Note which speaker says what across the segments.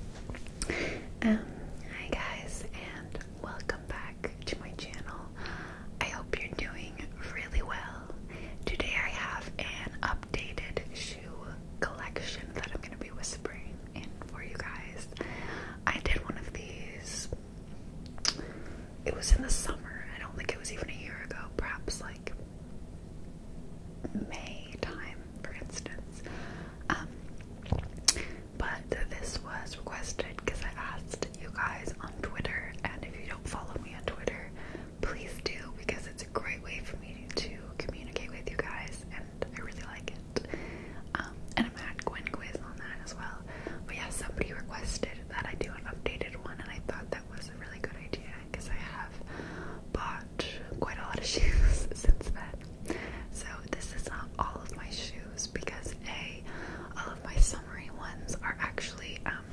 Speaker 1: Um, hi guys and welcome back to my channel. I hope you're doing really well. Today I have an updated shoe collection that I'm going to be whispering in for you guys. I did one of these, it was in the summer, I don't think it was even a year ago, perhaps like May time, for instance. Um, but this was requested because I asked you guys on Twitter, and if you don't follow me on Twitter, please do because it's a great way for me to communicate with you guys, and I really like it. Um, and I'm at Gwen Quiz on that as well. But yeah, somebody requested that I do an updated one, and I thought that was a really good idea because I have bought quite a lot of shoes since then. So this is not all of my shoes because A, all of my summery ones are actually um,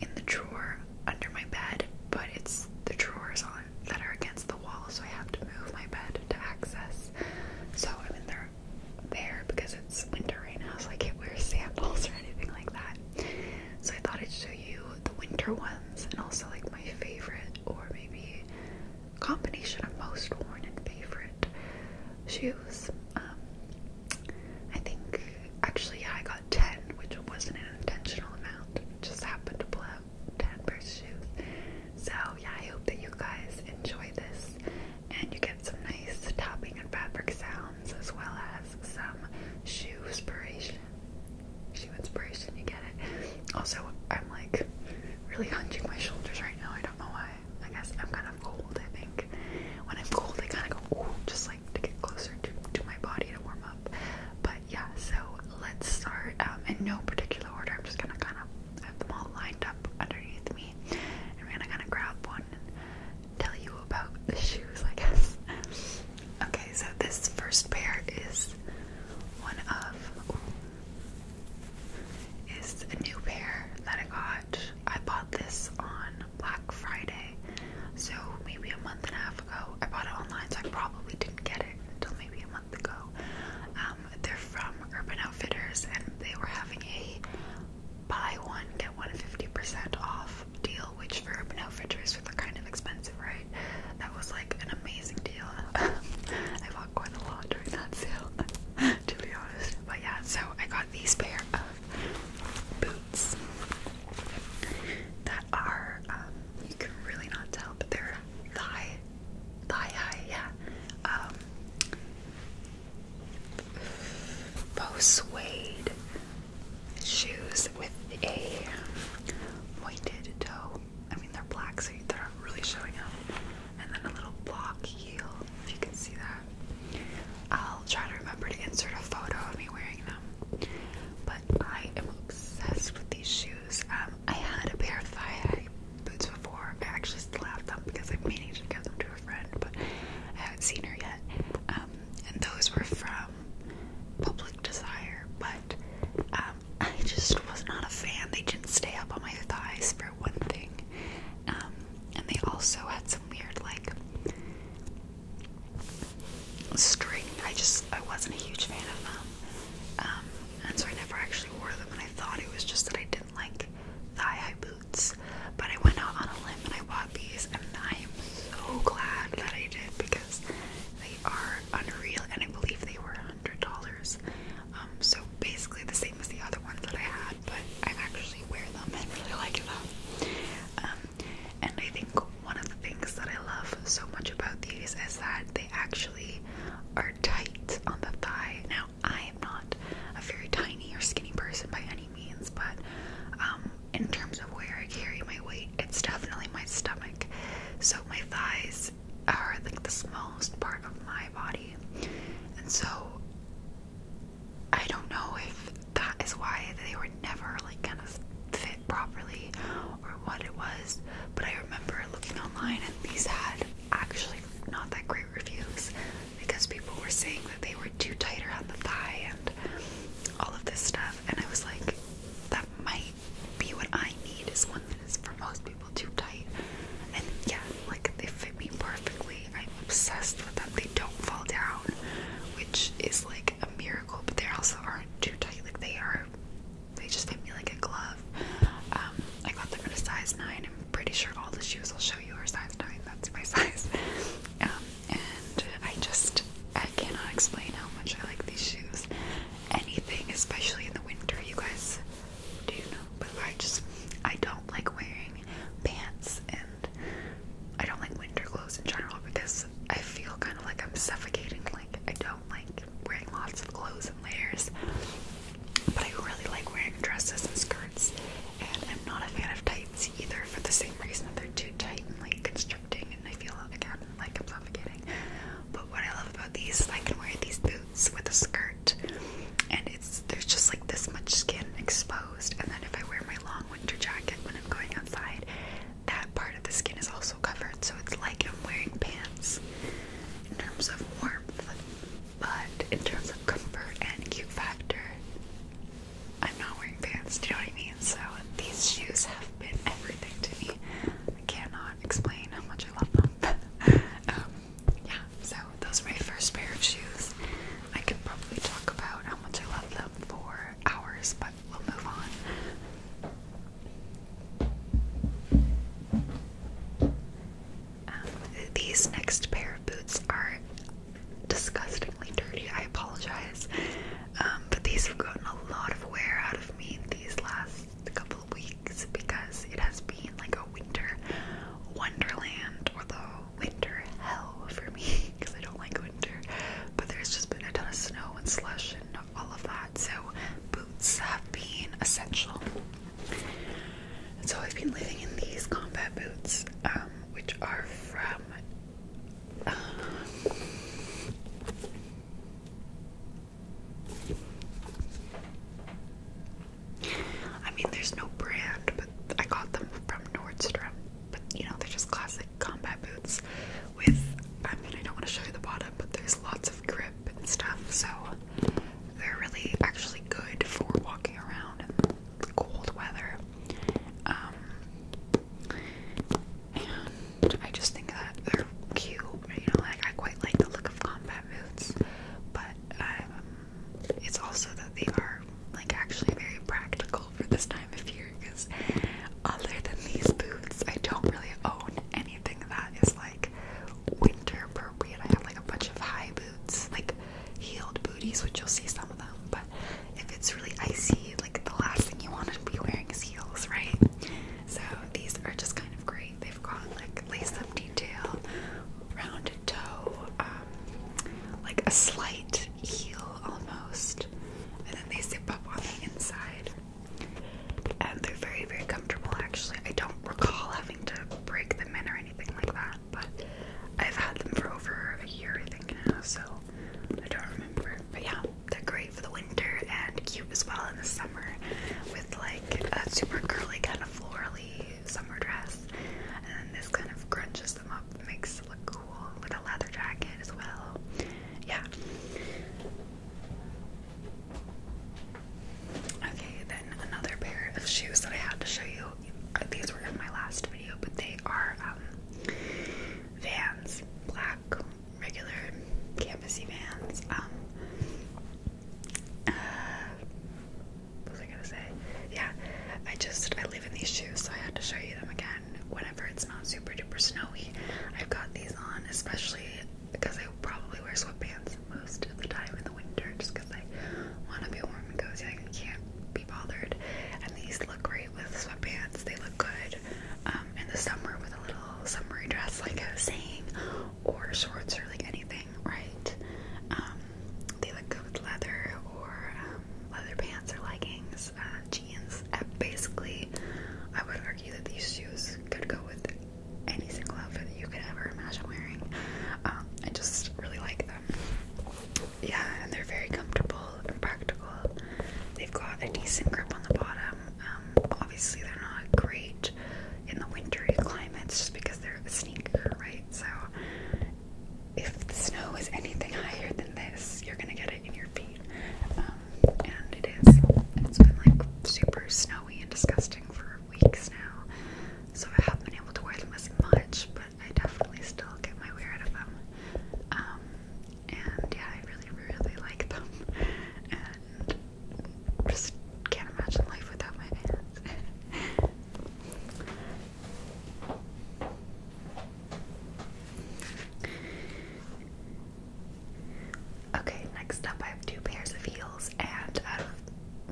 Speaker 1: in the drawer under my bed, but it's the drawers on that are against the wall, so I have to move my bed to access. So I'm in there there because it's winter right now, so I can't wear sandals or anything like that. So I thought I'd show you the winter ones and also like my favorite or maybe combination of most worn and favorite shoes. Um, I think actually, I got 10, which wasn't an intentional amount, just happened to pull out 10 pairs of shoes. So, yeah, I hope that you guys enjoy this and you get some nice tapping and fabric sounds as well as some shoe inspiration shoe inspiration, you get it. Also, I'm like really hunching my shoulders right now. I don't know why. I guess I'm kind of cold, I think. When I'm cold, I kind of go, ooh, just like to get closer to, to my body to warm up. But yeah, so let's start um, in no particular order. I'm just gonna kind of have them all lined up underneath me, and we're gonna kind of grab one tell you about the shoes, I guess. okay, so this first pair is one of is a new pair that I got. I bought this on Black Friday, so maybe a month and a half ago. I bought it online, so I probably didn't get it until maybe a month ago. Um, they're from Urban Outfitters, and they were having a buy one, get one 50% off deal, which for Urban Outfitters were kind of expensive, right? That was like an amazing deal. I bought quite a lot during that sale, to be honest. But yeah, so I got these pair of boots that are, um, you can really not tell, but they're thigh, thigh high, yeah. faux um, suede shoes with a pointed toe. I mean, they're black, so they're not really showing up. And then a little block heel, if you can see that. I'll try to remember to insert a photo of me wearing them. But I am obsessed with these shoes. Um, I had a pair of thigh-high boots before. I actually still have them because I'm meaning to give them to a friend, but I haven't seen her yet. Um, and those were from Public Desire, but uh, I just was not a fan. They didn't stay up on my thighs for one thing. Um, and they also had some weird like string. I just I wasn't a huge fan of them. Um, and so I never actually wore them and I thought it was just that I didn't like thigh high boots. But I went out on a limb and I bought these and I am so glad that I did because they are unreal, and I believe they were $100. Um, so basically the same as the other ones that I had, but I actually wear them and really like them. Um, and I think one of the things that I love so much about these is that they actually are tight on the thigh. Now, I am not a very tiny or skinny person by any means, but um, in terms of where I carry my weight, it's definitely my stomach. So my thighs legs are like the smallest part of my body. And so I don't know if that is why they were never like kind of fit properly or what it was, but I remember looking online and these had actually not that great reviews because people were saying that they were too tight around the thigh and all of this stuff and I was like that might be what I need is one that is for most people too tight. And yeah, like they fit me perfectly. I'm obsessed with them. They don't fall down, which is like a miracle, but they also aren't too tight. Like they are, they just fit me like a glove. Um, I got them in a size 9. I'm pretty sure all the shoes I'll show you are size 9. That's my size. Um, and I just, I cannot explain how much I like these shoes anything, especially in the winter. You guys do know, but I just I don't like wearing pants, and I don't like winter clothes in general because I feel kind of like I'm suffocating. Like I don't like wearing lots of clothes and layers, but I really like wearing dresses and skirts. And I'm not a fan of tights either for the same reason that they're too tight and like constricting and I feel again like I'm suffocating. But what I love about these is I can wear these boots with a skirt, and it's there's just like this much skin exposed. And then if I wear my long winter jacket when I'm going outside, that part of the skin is also covered. So it's like I'm wearing pants in terms of warmth, but in terms of comfort and cute factor, I'm not wearing pants. Do you know what I mean? So these shoes have everything to me. I cannot explain how much I love them. Um, yeah, so those are my first pair of shoes. I could probably talk about how much I love them for hours, but we'll move on. Um, these next pair of boots are disgustingly dirty. I apologize, um, but these have gotten a lot of wear out of me these last couple weeks because it has been like a winter wonderland, or the winter hell for me because I don't like winter. But there's just been a ton of snow and slush and all of that, so boots have been essential. so I've been living in these combat boots, um, which are from. Um, I mean, there's no brand, but I got them from Nordstrom. But you know, they're just classic combat boots with, I mean, I don't want to show you the bottom, but there's lots of grip and stuff, so they're really actually good for walking around in cold weather. Um, and I just think that they're cute. You know, like I quite like the look of combat boots, but um, it's also that they are like actually very practical for this time of year. Because other than these boots, I don't really own anything that is like winter appropriate. I have like a bunch of high boots, like heeled booties, which you'll see some of them. But if it's really icy, like the last thing you want to be wearing is heels, right? So these are just kind of great. They've got like lace-up detail, rounded toe, um, like a slight heel almost, and then they zip up on the inside. And they're very, very comfortable actually. I don't recall having to break them in or anything like that, but I've had them for over a year, I think, now, so I don't remember. But yeah, they're great for the winter and cute as well in the summer with like a super curly kind of florally summer dress. And then this kind of crunches them up, makes it look cool with a leather jacket as well. Yeah. Okay, then another pair of shoes that I had to show you. These were in my last video, but they are um, Vans black regular canvassy vans. Um, uh, what was I gonna say? Yeah, I just I live in these shoes, so I had to show you them again. Whenever it's not super duper snowy, I've got these on, especially because I probably wear sweatpants most of the time in the winter, just because I want to be warm and cozy. I can't be bothered, and these look great with sweatpants. They look good um, in the summer with a little summery dress, like I was saying, or shorts or like anything, right? Um, they look good with leather or um, leather pants or leggings, uh, jeans. Uh, basically, I would argue that these shoes could go with any single outfit that you could ever imagine wearing. Um, I just really like them. Yeah, and they're very comfortable and practical. They've got a decent grip on the bottom, um, obviously, they're not great in the wintry climates just because they're a sneaker, right? So, if the snow is anything higher than this, you're gonna get it in your feet. Um, and it is. It's been like super snowy and disgusting for weeks now. So, I haven't been able to wear them as much, but I definitely still get my wear out of them. Um, and yeah, I really, really like them, and just can't imagine life without my pants. okay, next up, I have two pairs of heels, and out um, of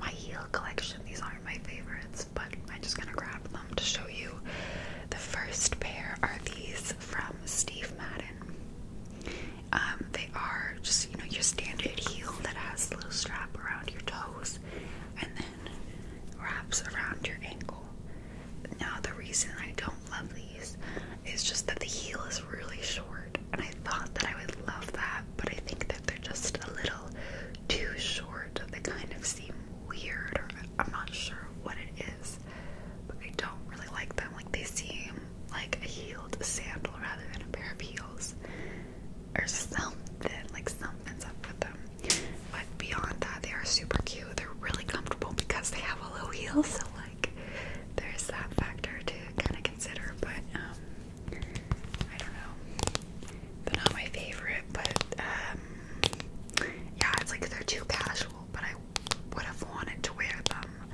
Speaker 1: my heel collection, these aren't my favorites, but I'm just gonna grab them to show you. The first pair are these from Steve Madden. Um, they are just, you know, your standard heel that has a little strap around your toes and then wraps around your ankle. Now, the reason I don't love these is just that the heel is really short, and I thought that I would love that, but I
Speaker 2: think that they're just a little too short. They kind of seem
Speaker 1: weird, or I'm not sure what it is is. But I don't really like them. Like they seem like a heeled sandal rather than a pair of heels. Or something. Like something's up with them. But beyond that, they are super cute. They're really comfortable because they have a low heel, so like there's that factor to kinda consider. But um I don't know. They're not my favorite, but um yeah, it's like they're too casual, but I would have wanted to wear them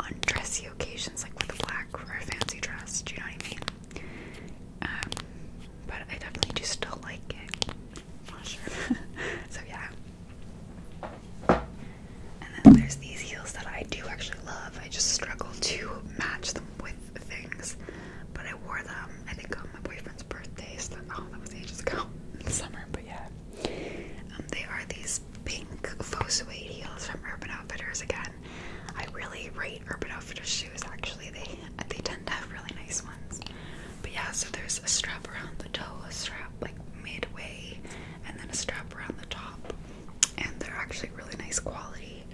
Speaker 1: on dressy occasions, like with a black or a fancy dress. Do you know what I mean? Um, but I definitely do still like it. not sure. so yeah. And then there's these heels that I do actually love. I just struggle to match them with things. But I wore them, I think, on my boyfriend's birthday. oh, that was ages ago summer. But yeah. Um, they are these pink faux suede heels from Urban Outfitters again. I really rate Urban Outfitters shoes actually. They they tend to have really nice ones. But yeah, so there's a strap around the toe, a strap like midway, and then a strap around the top. And they're actually really nice quality.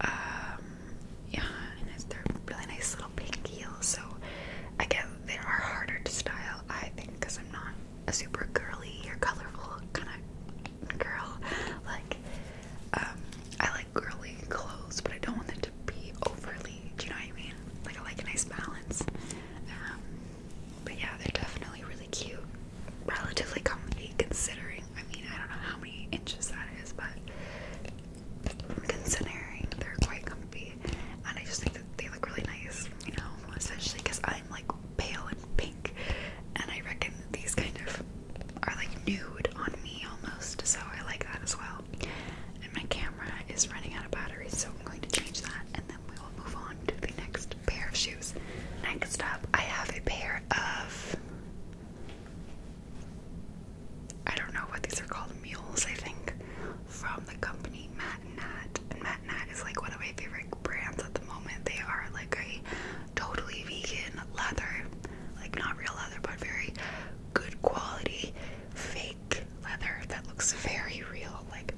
Speaker 1: Um, yeah, and they're really nice little pink heels. So again, they are harder to style, I think, because I'm not a super girly or colorful kind of girl. Like, um, I like girly clothes, but I don't want them to be overly. Do you know what I mean? Like, I like a nice balance. Um, but yeah, they're definitely really cute. Relatively comfy, considering. I mean, I don't know how many inches that is, but considering they're quite comfy, and I just think that they look really nice. You know, essentially because I like pale and pink, and I reckon these kind of are like nude on me almost, so I like that as well. And my camera is running out of battery, so I'm going to change that, and then we will move on to the next pair of shoes. Next up, I have a pair of I don't know what these are called, mules, I think from the company Matt And Matt is like one of my favorite brands at the moment. They are like a totally vegan leather, like not real leather, but very good quality fake leather that looks very real. Like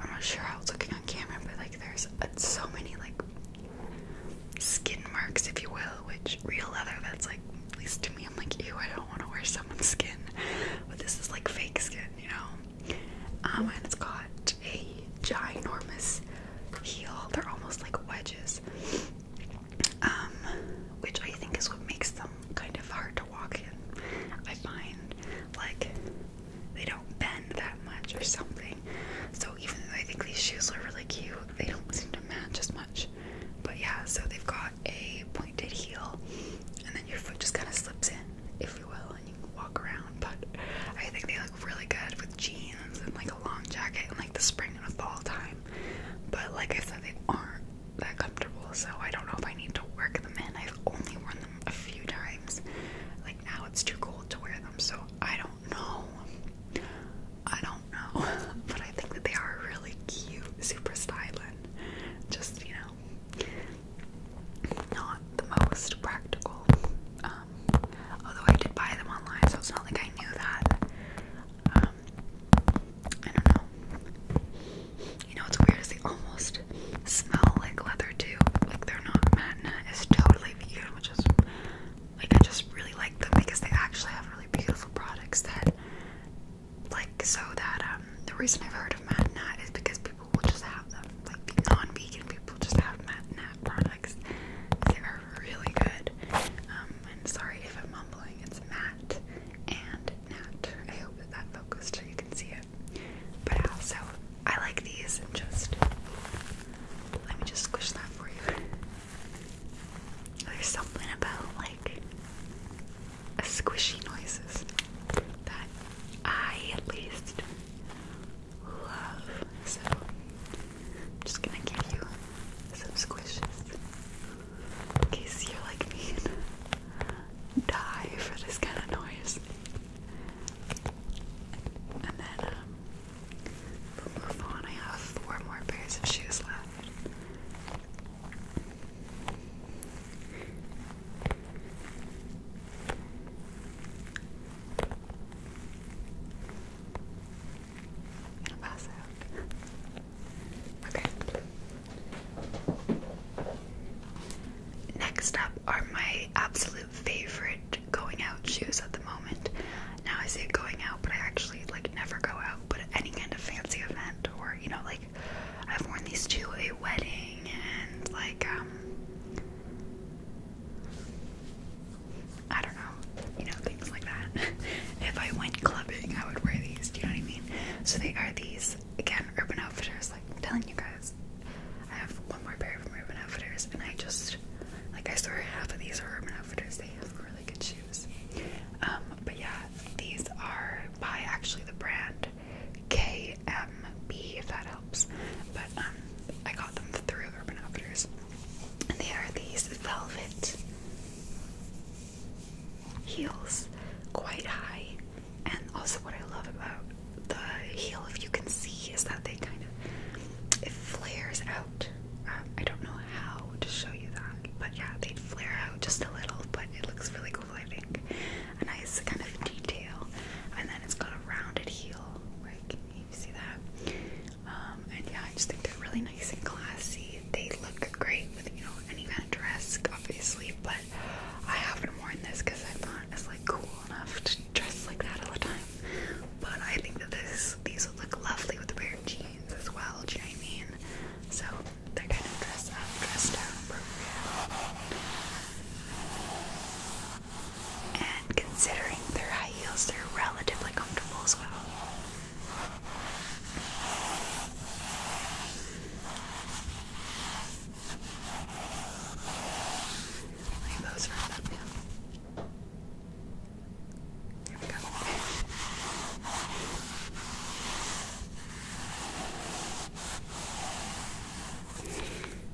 Speaker 1: I'm not sure how it's looking on camera, but like there's so many like skin marks, if you will, which real leather that's like at least to me I'm like ew I don't want to wear someone's skin. But this is like fake skin, you know? Um, and it's got a ginormous heel. They're almost like wedges, um, which I think is what makes them kind of hard to walk in. I find like they don't bend that much or something. So even though I think these shoes are really cute, they don't seem to match as much. But yeah, so they've got a pointed heel, and then your foot just kind of slips in, if you will, you walk around, but I think they look really good with jeans and like a long jacket in like the spring and the fall time. But like I said, they aren't that comfortable, so I don't know if I need to work them in. I've only worn them a few times. Like now it's too cold to wear them, so I don't know. I don't know, but I think that they are really cute, super styling. Just you know, not the most practical. Um, although I did buy them online, so it's not like I knew that. Um, I don't know. You know what's weird they almost smell like leather too. Like they're not matinee, is totally vegan, which is like I just really like them because they actually have really beautiful products that like so that um the reason I've heard of matinee is because people people will just have them. Like non-vegan people just have nat nat products. They are really good. Um, and sorry if I'm mumbling. It's Matt and nat. I hope that that focused so you can see it. But also, I like these and just let me just squish that for you. There's something about like squishy noises that I at least love. So just gonna give you some squishes in case you're like me and die for this kind of noise. And then um, move on. I have four more pairs of shoes left. Next up are my absolute favorite going out shoes at the moment. Now I say going out, but I actually like never go out. But any kind of fancy event or you know like I've worn these to a wedding and like um I don't know, you know, things like that. if I went clubbing, I would wear these, do you know what I mean? So they are these again Urban Outfitters, like I'm telling you guys. I have one more pair from Urban Outfitters and I just like I swear half of these are Urban Outfitters. They have really good shoes. Um, but yeah, these are by actually the brand KMB if that helps. But um, I got them through Urban Outfitters, and they are these velvet heels, quite high. And also, what I love about the heel, if you can see, is that they kind of it flares out. Um, I don't know how to show you that, but yeah, they flare out just a little, but it looks really cool, I think a nice kind of detail, and then it's got a rounded heel. Like you see that, um, and yeah, I just think they're really nice and classy. They look great with you know any kind of dress, obviously. But I haven't worn this because I'm not as like cool enough to dress like that all the time. But I think that this these would look lovely with a pair of jeans as well. Do you know what I mean? So they're kind of dress up, dress down appropriate. And considering their high heels, they're relatively comfortable as well. those right up, yeah. we go.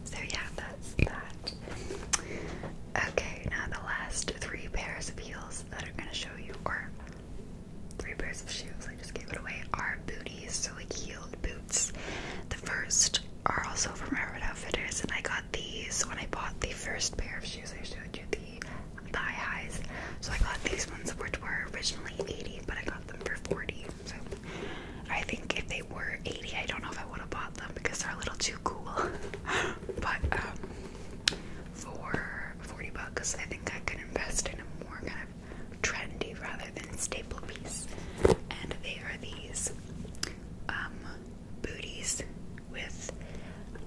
Speaker 1: So yeah, that's that. Okay, now the last three pairs of heels that I'm gonna show you, are three pairs of shoes, I just gave it away, are booties, so like heeled boots. The first are also from Urban Outfitters, and I got these when I bought the first pair of shoes I showed you, the high highs. So I got these ones, which were originally 80, but I got them for 40. So I think if they were 80, I don't know if I would have bought them because they're a little too cool. but um, for 40 bucks, I think I could invest in a more kind of trendy rather than staple piece. And they are these um, booties with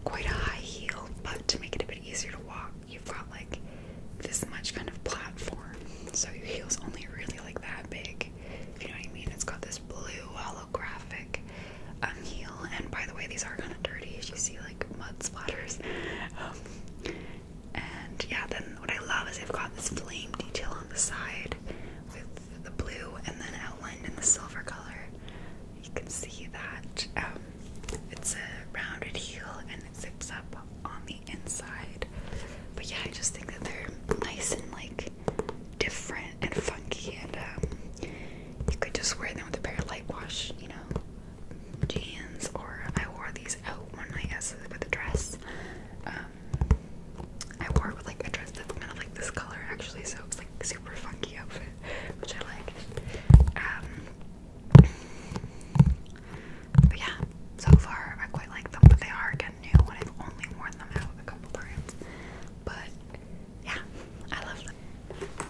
Speaker 1: quite a high heel, but to make it a bit easier to walk, you've like this much kind of platform, so your heel's only really like that big. you know what I mean, it's got this blue holographic um, heel. And by the way, these are kind of dirty as you see, like mud splatters. and yeah, then what I love is they've got this flame detail on the side with the blue and then outlined in the silver color. You can see that um, it's a rounded heel and it zips up on the inside. But yeah, I just think that they're nice and like different and funky, and um, you could just wear them with a pair of light wash, you know, jeans. Or I wore these out one night as with a dress. Um, I wore it with like a dress that's kind of like this color actually, so it was like super funky outfit, which I like. Um, but yeah, so far I quite like them, but they are again new and I've only worn them out a couple times. But yeah, I love them.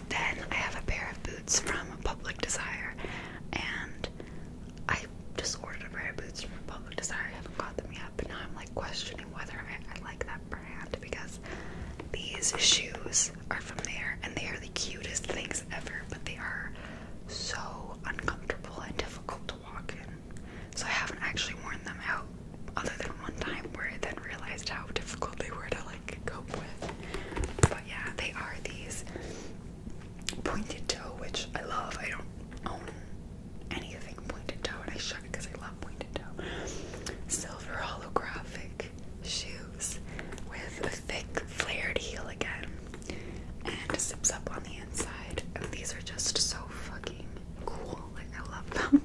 Speaker 1: Then I have a pair of boots from Public Desire, and I just ordered a pair of boots from Public Desire. I haven't got them yet, but now I'm like questioning whether I, I like that brand because these shoes are from there and they are the cutest things bags ever, but they are so uncomfortable and difficult to walk in. So I haven't actually worn them out other than one time where I then realized how difficult they were to like cope with. But yeah, they are these pointed toe, which I love. I don't own anything pointed toe, and I should because I love pointed toe. Silver holographic shoes with a thick flared heel again and zips up on the inside. And these are just so fucking cool. Like I love them.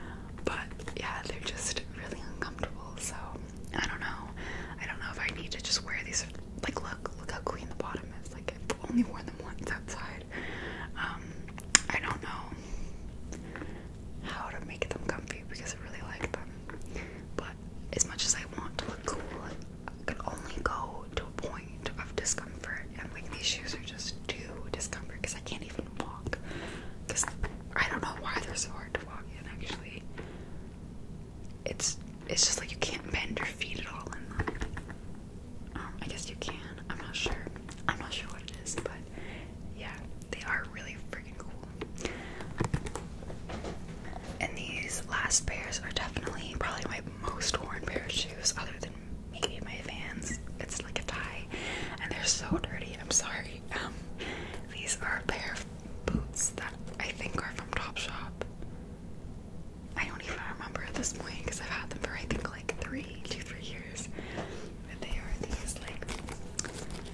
Speaker 1: but yeah, they're just really uncomfortable. So I don't know. I don't know if I need to just wear these. Like look, look how clean the bottom is. Like I've only worn them once outside. Um, I don't know how to make them comfy because I really like them. But as much as I want to look cool, I can only go to a point of discomfort. And like these shoes are just too discomfort because I can't even walk. Because I don't know why they're so hard to walk in. Actually, it's it's just like you can't bend your feet at all in them. Um, I guess you can. I'm not sure. I'm not sure what it is, but yeah, they are really freaking cool. And these last pairs are definitely probably my most worn pair of shoes, other than maybe my Vans. It's like a tie, and they're so dirty. I'm sorry. Um, these are a pair of boots that I think are from Topshop. I don't even remember at this point because I've had them for I think like three, two, three years. But they are these like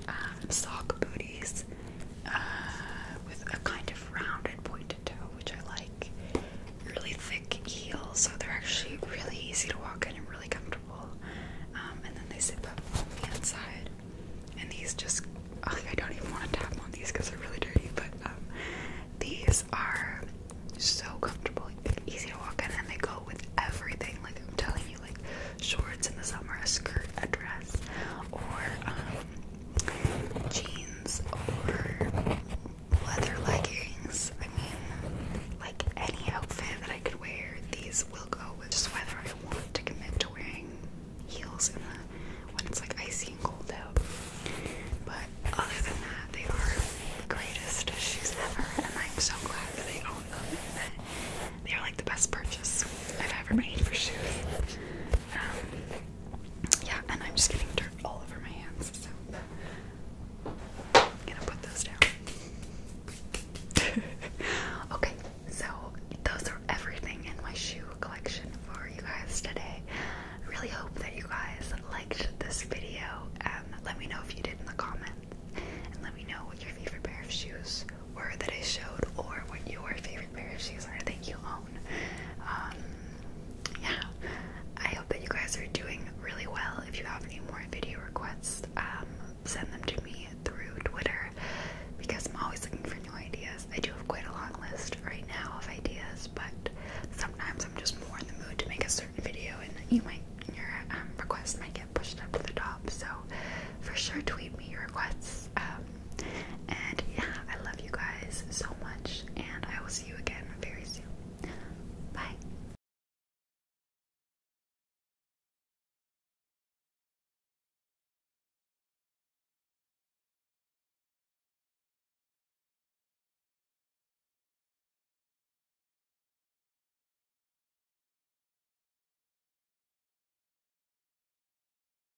Speaker 1: um, sock booties uh, with a kind of rounded, point which I like. Really thick heels, so they're actually really easy to walk in and really comfortable. Um, and then they zip up on the inside. And these just, oh, I don't even want to tap on these because they're really dirty, but um, these are so comfortable, easy to walk in, and they go with everything. Like I'm telling you, like shorts in the summer, a skirt, a dress, or um, jeans or leather leggings. I mean, like any outfit that I could wear, these will go with just whether I want to commit to wearing heels in the when it's like icy and cold out. But other than that, they are the greatest shoes ever, and I'm so glad that I own them. they are like the best purchase I've ever made for shoes. Um, yeah, and I'm just getting dirt all over my hands, so I'm gonna put those down. okay, so those are everything in my shoe collection for you guys today. I really hope that you guys liked this video. Um, let me know if you did in the comments, and let me know what your favorite pair of shoes were that I showed, or what your favorite pair of shoes are. Thank you all um, yeah, I hope that you guys are doing really well. If you have any more video requests, um, send them to me through Twitter because I'm always looking for new ideas. I do have quite a long list right now of ideas, but sometimes I'm just more in the mood to make a certain video, and you might your um, request might get pushed up to the top. So for sure, tweet me your requests. And yeah, I love you guys so much, and I will see you again very soon. Bye.